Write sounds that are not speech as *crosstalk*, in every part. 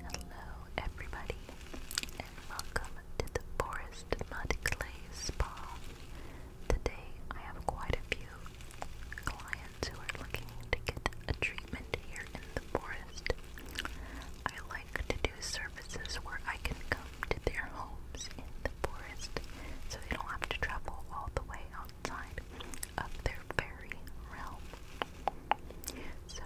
Hello, everybody, and welcome to the Forest Mud Clay Spa. Today, I have quite a few clients who are looking to get a treatment here in the forest. I like to do services where I can come to their homes in the forest so they don't have to travel all the way outside up their fairy realm. So,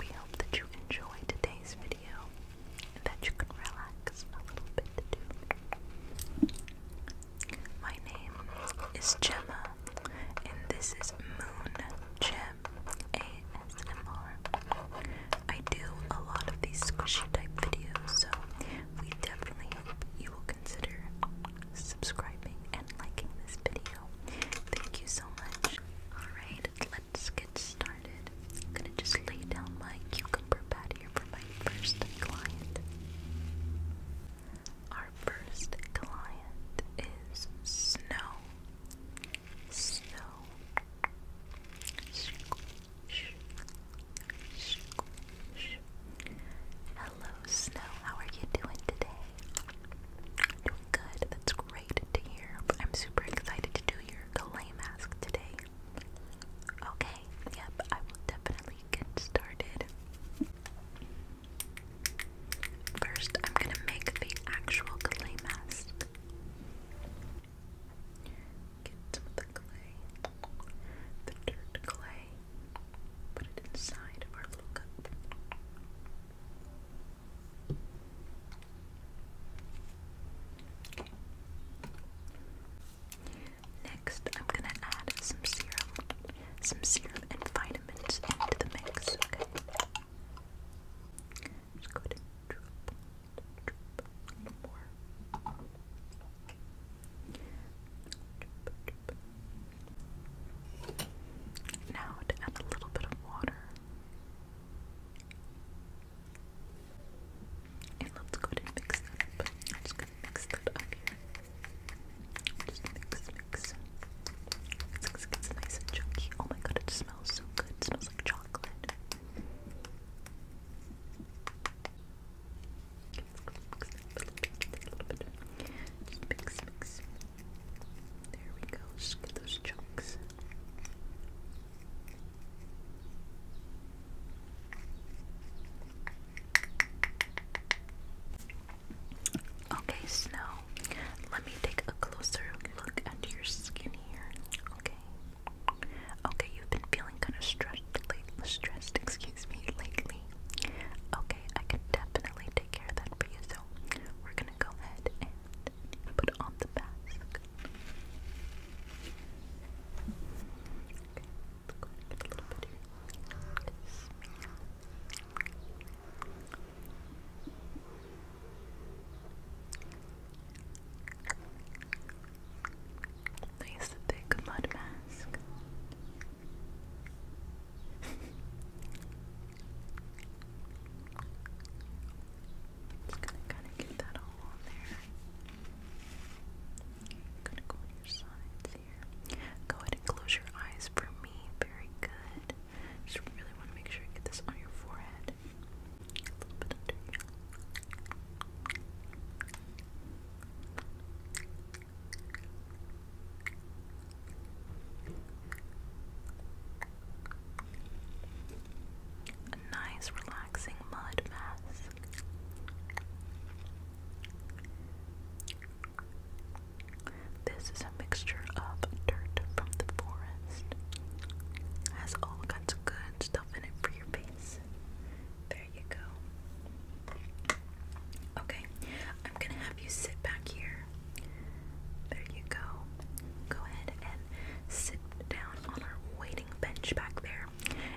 we hope that you enjoy today's video and that you can relax a little bit too. My name is Gemma, and this is Moon Gem ASMR. I do a lot of these squishy type videos, so we definitely hope you will consider subscribing, and liking this video. Thank you so much. Alright, let's get started. gonna just lay down my cucumber pad here for my first client. Our first client is Snow. Snow. Hello, Snow. How are you doing today? Doing good. That's great to hear. I'm super excited to do your clay mask today. Okay, yep, I will definitely get started. First, I'm gonna make the actual clay mask. Get some the clay, the dirt clay, put it inside of our little cup. Next, I'm gonna add some serum, some serum and vitamins into the mix. Okay. Just go ahead a little more. Now to add a little bit of water. And let's go ahead mix that I'm just gonna mix that up here. Just mix, mix. It's, it gets nice and chunky. Oh my god, it smells so good. It smells like chocolate. Mix, mix, mix, mix, mix, mix, mix, mix, mix, mix, mix, mix there we go. get those chunks. Okay, Snow, let me take a closer look at your skin here. Okay. Okay, you've been feeling kind of stressed lately. Stressed, excuse me, lately. Okay, I can definitely take care of that for you. So we're gonna go ahead and put on the mask. Okay, let's go ahead get a little bit Nice thick mud mask. Just gonna kind of get that all on there. gonna go on your sides here. Go ahead and close your eyes for me. Very good. Just really want to make sure I get this on your forehead. A little bit under a nice, relaxing mud mask. This is a mixture of dirt from the forest. Has all kinds of good stuff in it for your face. There you go. Okay, I'm going to have you sit back here. There you go. Go ahead and sit down on our waiting bench back there.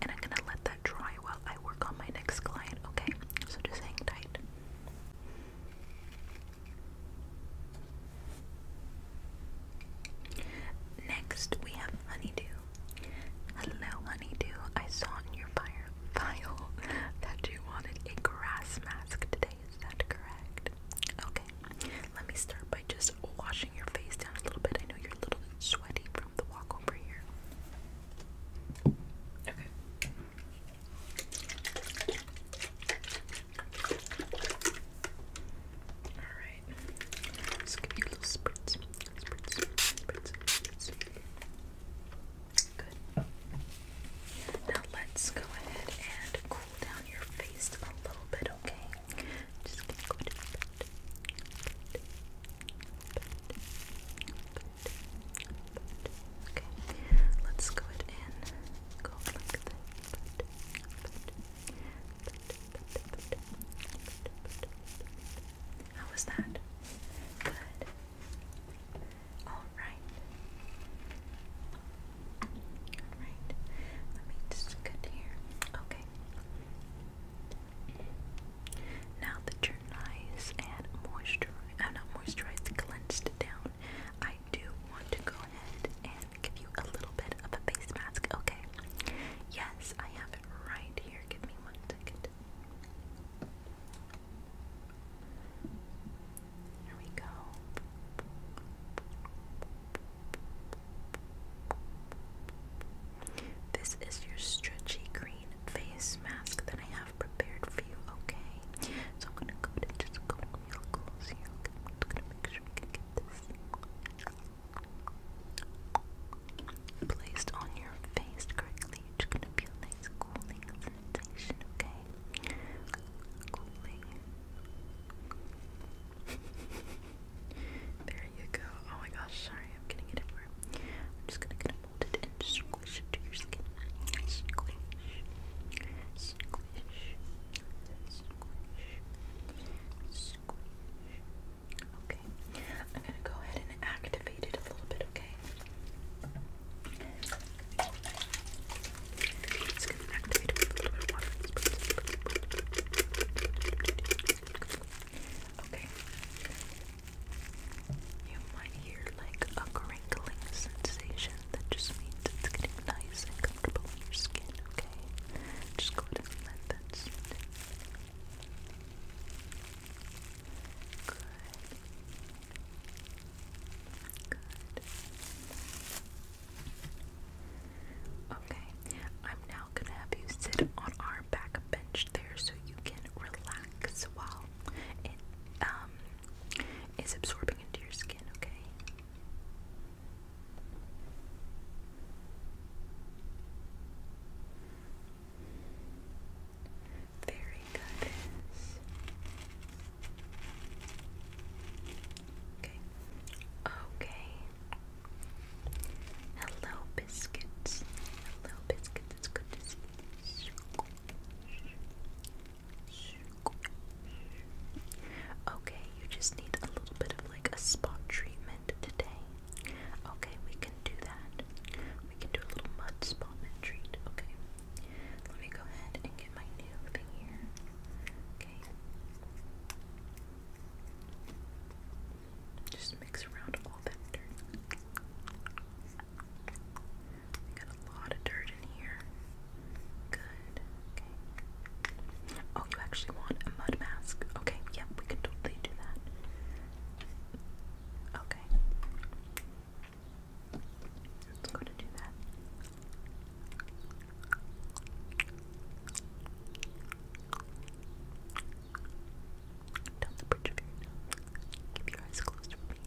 And I'm going to let that dry while I work on my next client, okay? So just hang tight. Next, we have Honeydew. Hello, Honeydew. I saw your fire Kyle, that you wanted a grass mask today. Is that correct? Okay. Let me start by just washing your face down a little bit. I know you're a little bit sweaty from the walk over here. Okay. Alright. let give you little spritz. Spritz, spritz, spritz. Good. Now let's go ahead and cool down your face a little bit, okay? let's go ahead and How was that? Good. Alright. Alright. Let me just get here. Okay. Now that your nice and moisturized, uh, not moisturized, cleansed down, I do want to go ahead and give you a little bit of a face mask, okay? Yes, I have it right here. Give me one second. Here we go. This is your stretchy green face mask that I have prepared for you, okay? So I'm gonna go and just go real close here. I'm just gonna make sure we can get this placed on your face correctly. you just gonna feel nice cooling sensation, okay? Cooling. *laughs* there you go. Oh my gosh, sorry, I'm getting it everywhere. I'm just gonna get it molded it to your skin. Okay. I'm gonna go ahead and activate it a little bit, okay? It's Okay. You might hear like a crinkling sensation that just means it's getting nice and comfortable in your skin, okay? Just go ahead and let that sit. Good. Okay, I'm now gonna have you sit on our back bench there so you can relax while it um is absorbing into your skin, okay? Fairy goddess. Okay. Okay. Hello, biscuits. Hello, biscuits. It's good to see you. Okay, you just need a little bit of like a spot treatment today. Okay, we can do that. We can do a little mud spot and treat. Okay. Let me go ahead and get my new thing here. Okay. Just mix around all that dirt. I got a lot of dirt in here. Good. Okay. Oh, you actually want a mud mask? Okay, yep, we can totally do that. Okay. It's going to do that. Down the bridge of your nose. Keep your eyes closed for me.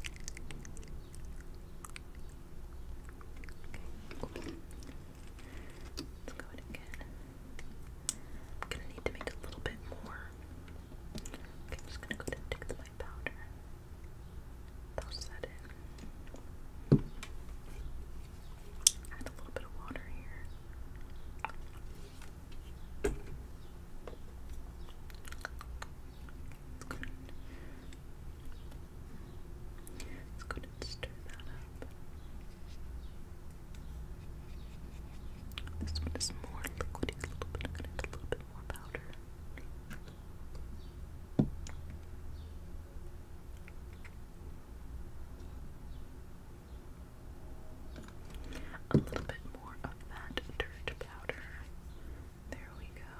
Okay, open. Let's go ahead again. I'm gonna need to make a little bit more. I'm just gonna go ahead and take the white powder. Toss that in. Add a little bit of water here. It's good. Let's go ahead and stir that up. This one is more liquidy, a little bit. I'm going a little bit a little bit more of that dirt powder. There we go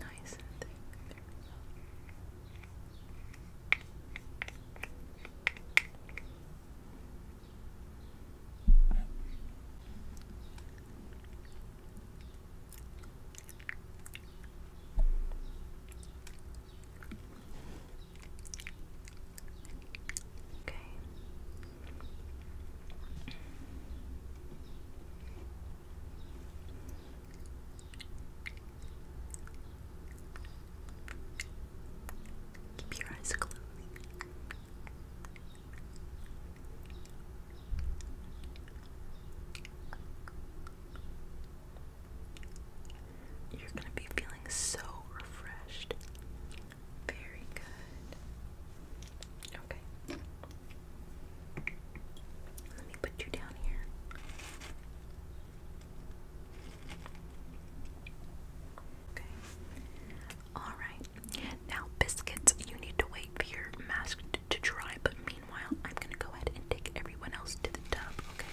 nice and thick. There we go. Okay. Keep your eyes closed. You're going to be feeling so refreshed. Very good. Okay. Let me put you down here. Okay. Alright. Now, biscuits, you need to wait for your mask to dry, but meanwhile, I'm gonna go ahead and take everyone else to the tub, okay?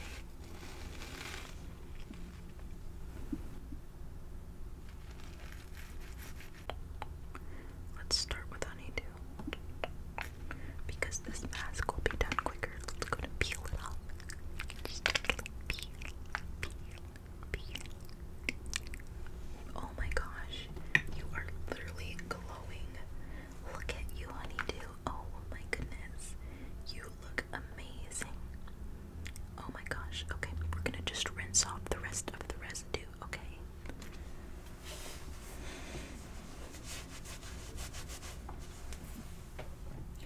Let's start with honeydew. Because this mask will be done quicker. Let's go to peel it off. Oh my gosh. You are literally glowing. Look at you, honeydew. Oh my goodness. You look amazing. Oh my gosh. Okay, we're gonna just rinse off the rest of the residue okay?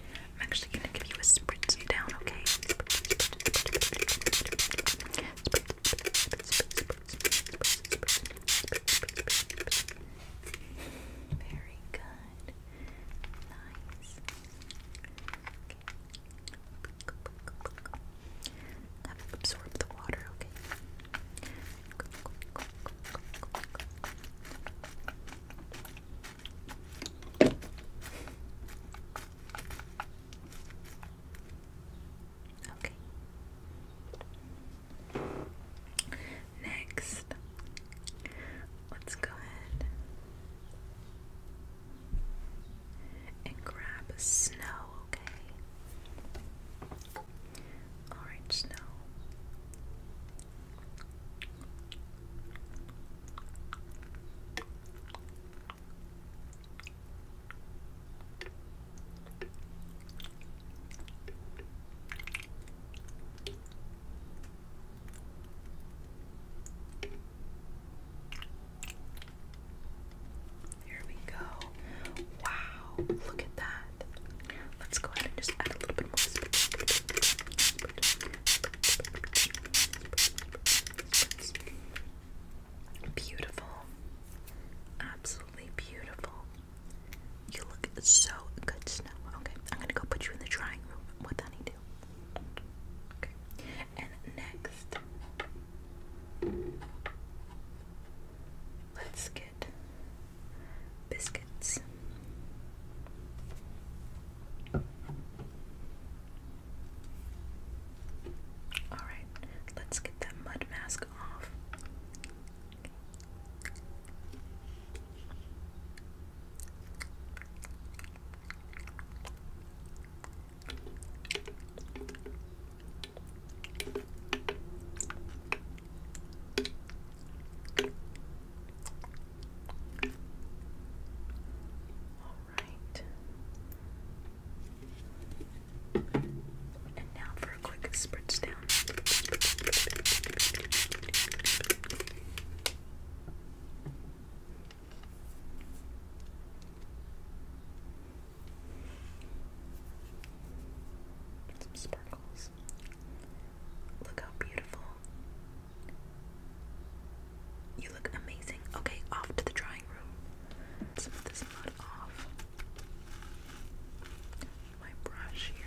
I'm actually gonna give you a spritz down, okay? Very good. Nice. Have it absorb the water, okay? Okay. Next, let's go ahead and grab snow, okay? Alright, snow. Here we go. Wow, look at that. Let's go ahead and just add a little bit more. Beautiful. Absolutely beautiful. You look so good, Snow. Okay, I'm gonna go put you in the drying room with honeydew. Okay, and next Let's get biscuits. All right, let's get that mud mask off right. And now for a quick spritz down. Some sparkles. Look how beautiful. You look amazing. Okay, off to the drying room. Some of this mud off. My brush here.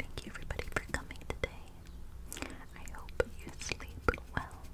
Thank you, everybody, for coming today. I hope you sleep well.